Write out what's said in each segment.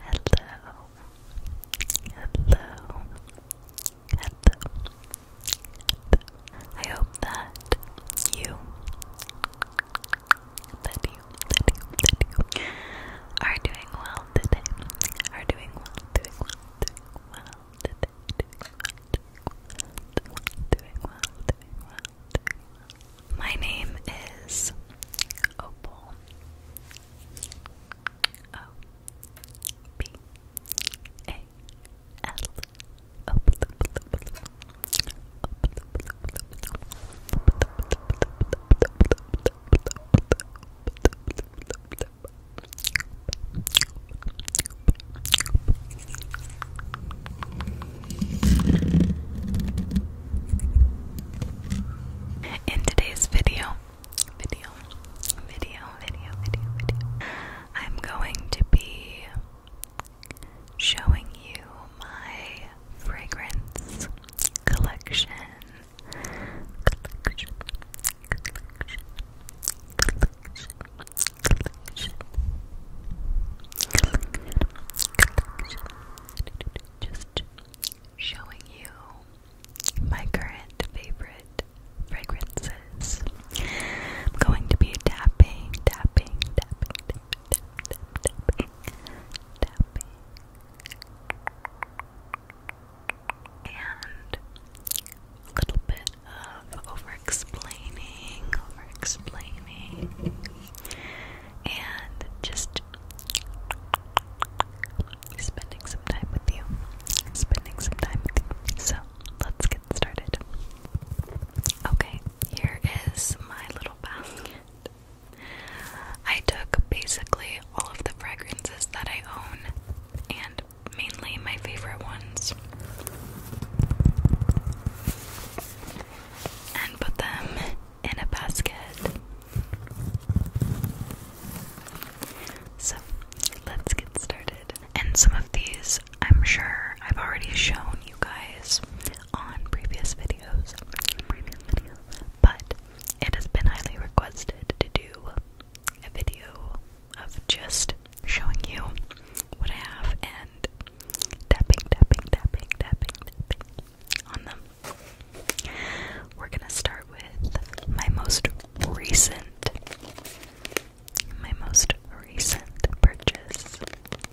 Hello. Hello. Hello. I hope that you that you, that are doing well today. Are doing well, doing well, doing well today. Doing well, doing well, doing well, My name is O B A L. In today's video, video, video, video, video, I'm going to be showing you my fragrance collection. Just showing you my current favorite fragrances. I'm going to be tapping, tapping, tapping, and a little bit of over explaining, over explaining, and just spending some time with you. Spending some time with you. So let's get started. Okay, here is my little basket. I took basically all of the fragrances that I own and mainly my favorite ones and put them in a basket. So let's get started. And some of these I'm sure I've already shown you guys on previous videos but it has been highly requested to do a video of just showing you what I have and tapping, tapping, tapping, tapping, tapping on them. We're gonna start with my most recent, my most recent purchase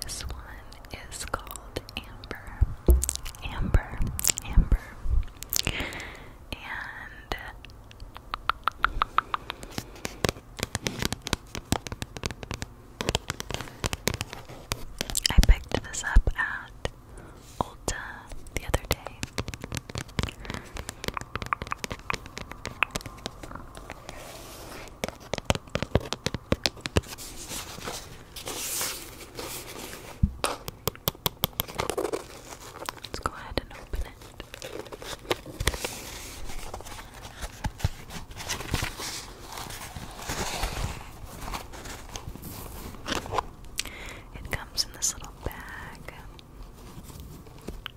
This one is called Amber. Amber. Amber. And I picked this up at Ulta the other day. Let's go ahead and open it. It comes in this little bag.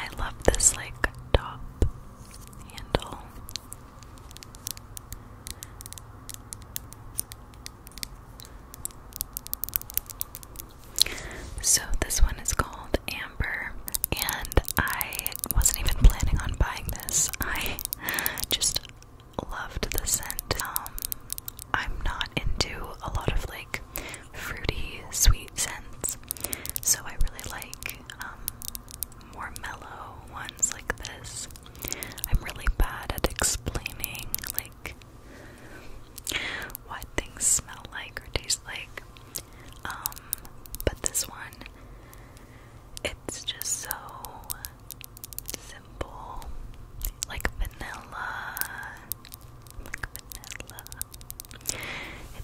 I love this like top handle. So, this one is called Amber, and I wasn't even planning on buying this. I just loved the scent. Um, I'm not into a lot of like fruity, sweet scents, so I really like um, more mellow ones like this. I'm really bad at explaining like what things smell like or taste like. Um, but this one, it's just so simple, like vanilla, like vanilla.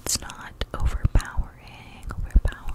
It's not overpowering, overpowering.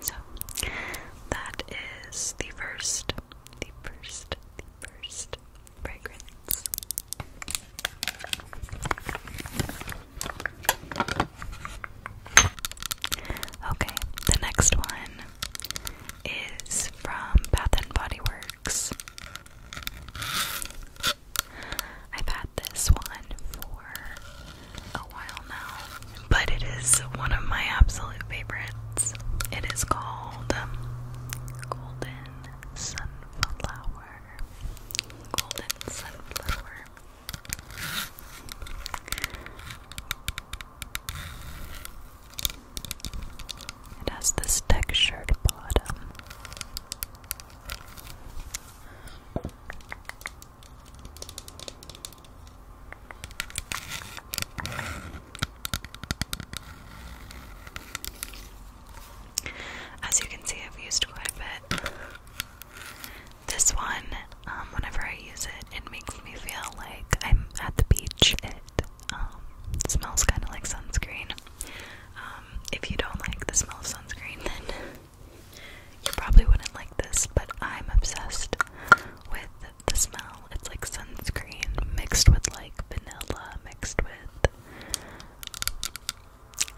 So that is the first, the first, the first fragrance. Okay, the next one is from Bath and Body Works. I've had this one for a while now, but it is one of my absolute favorites. It is called Golden Sunflower. Golden Sunflower. It has this textured bottom. As you can see, I've used quite a bit. This one, um, whenever I use it, it makes me feel like I'm at the beach. Um, smells kind of like sunscreen. Um, if you don't like the smell of sunscreen, then you probably wouldn't like this, but I'm obsessed with the smell. It's like sunscreen mixed with like vanilla, mixed with.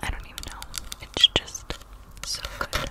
I don't even know. It's just so good.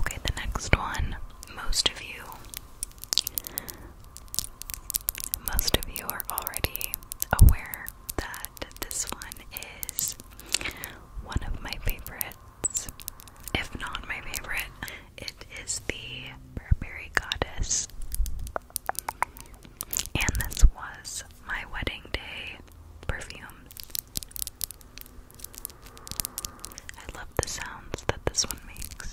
Okay, the next one. Most of you. Most of you are already aware that this one is one of my favorites, if not my favorite. It is the Burberry Goddess. And this was my wedding day perfume I love the sounds that this one makes.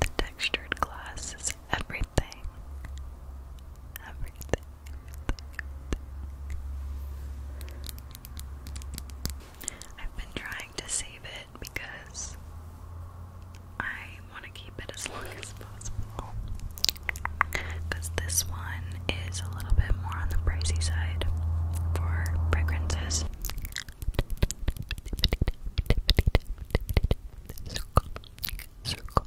The textured glass everything. Everything. I've been trying to save it because I want to keep it as long as possible. Because this one is a little bit more on the pricey side for fragrances. Circle, circle,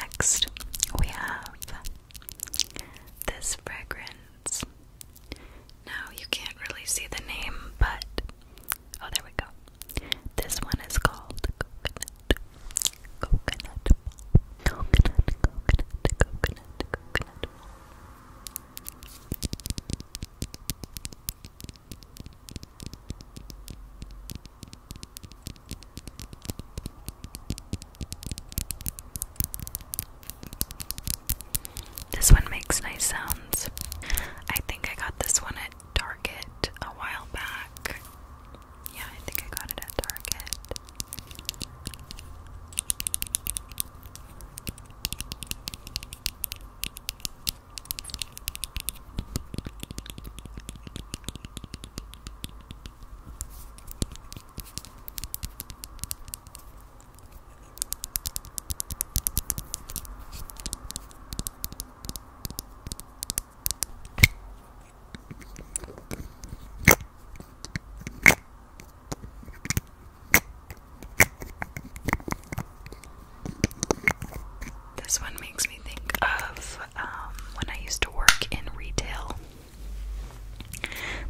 Next, we have this fragrance. Now, you can't really see the name, but Oh, there we go. This one is called coconut. Coconut Coconut, coconut, coconut, coconut This one makes nice sounds. I think I got this one at Target a while back. Yeah, I think I got it at Target. This one makes me think of um, when I used to work in retail.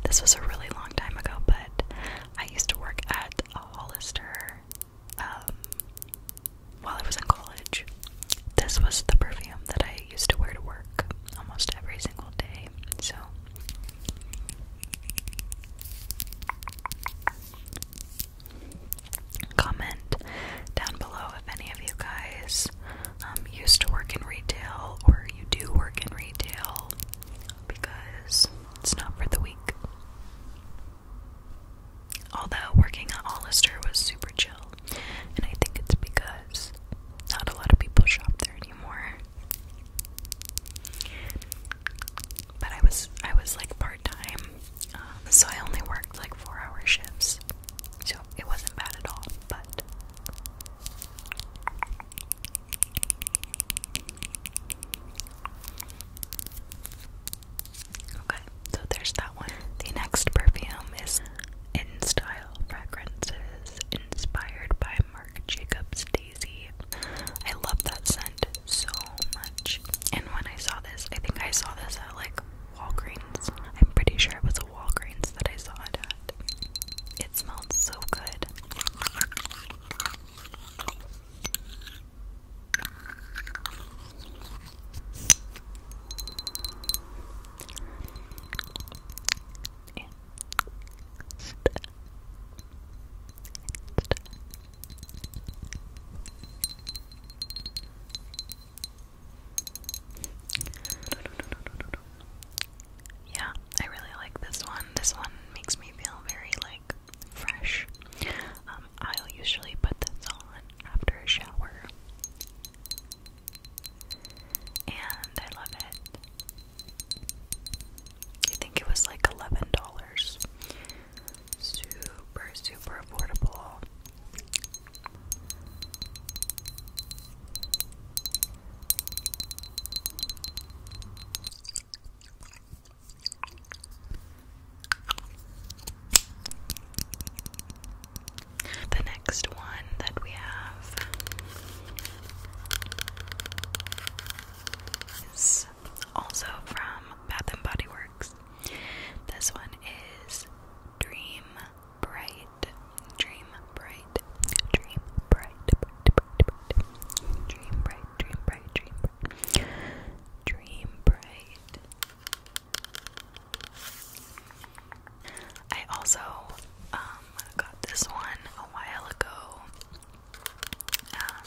This was a really long time ago, but I used to work at a Hollister um, while I was in college. This was the perfume that I used to wear to work almost every single day. So comment down below if any of you guys um, used to work in retail or you do work in retail because it's not for the weak. Although working at Hollister was super chill, and I think it's because not a lot of people shop there anymore. But I was I was like part time, um, so I only worked like four hour shifts, so it wasn't bad at all. But Okay, so there's that one. The next perfume is In Style Fragrances, inspired by Marc Jacobs Daisy. I love that scent so much. And when I saw this, I think I saw this at like Walgreens. I'm pretty sure it was a Walgreens that I saw it at. It smelled so good. Yeah, I really like this one. This one makes me feel very like fresh. Um, I'll usually put this on after a shower. And I love it. I think it was like $11. Super, super affordable. The next one that we have is also from Bath and Body Works. This one is Dream Bright. Dream Bright. Dream Bright. Bright, bright. Dream Bright. Dream Bright. Dream Bright. Dream Bright. I also um, got this one a while ago. Um,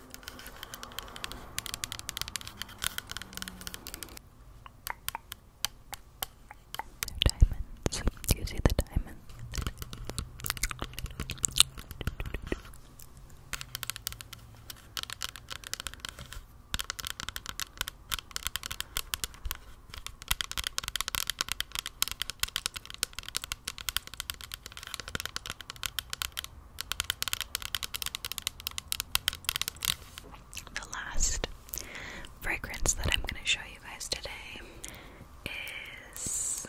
They're diamonds. Do you see the diamonds? The last fragrance that I'm going to show you guys today is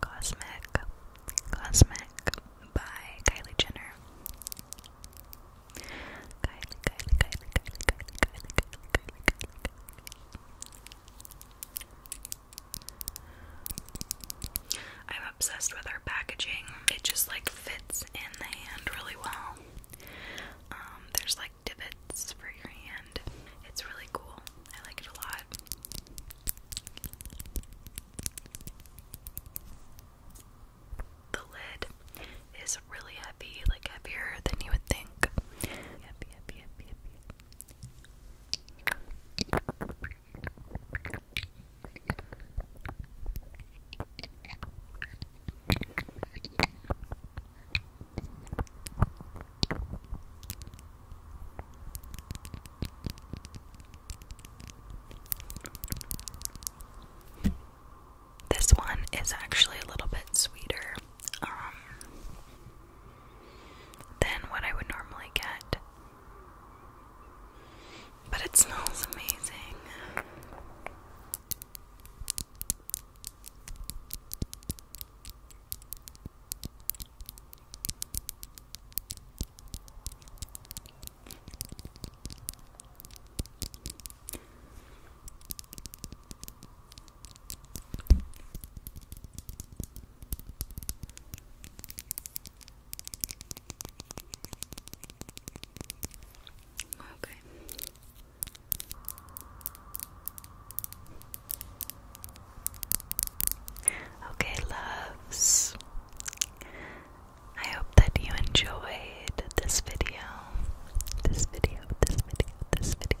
Cosmic Cosmic by Kylie Jenner. I'm obsessed with our packaging. It just like fits in the hand really well. Um, there's like divots for your hand. It's really cool. I like it a lot. The lid is really heavy, like heavier than you would think. This one is actually a little bit sweeter um, than what I would normally get. But it smells amazing. Okay. Okay, loves. I hope that you enjoyed this video. This video, this video, this video.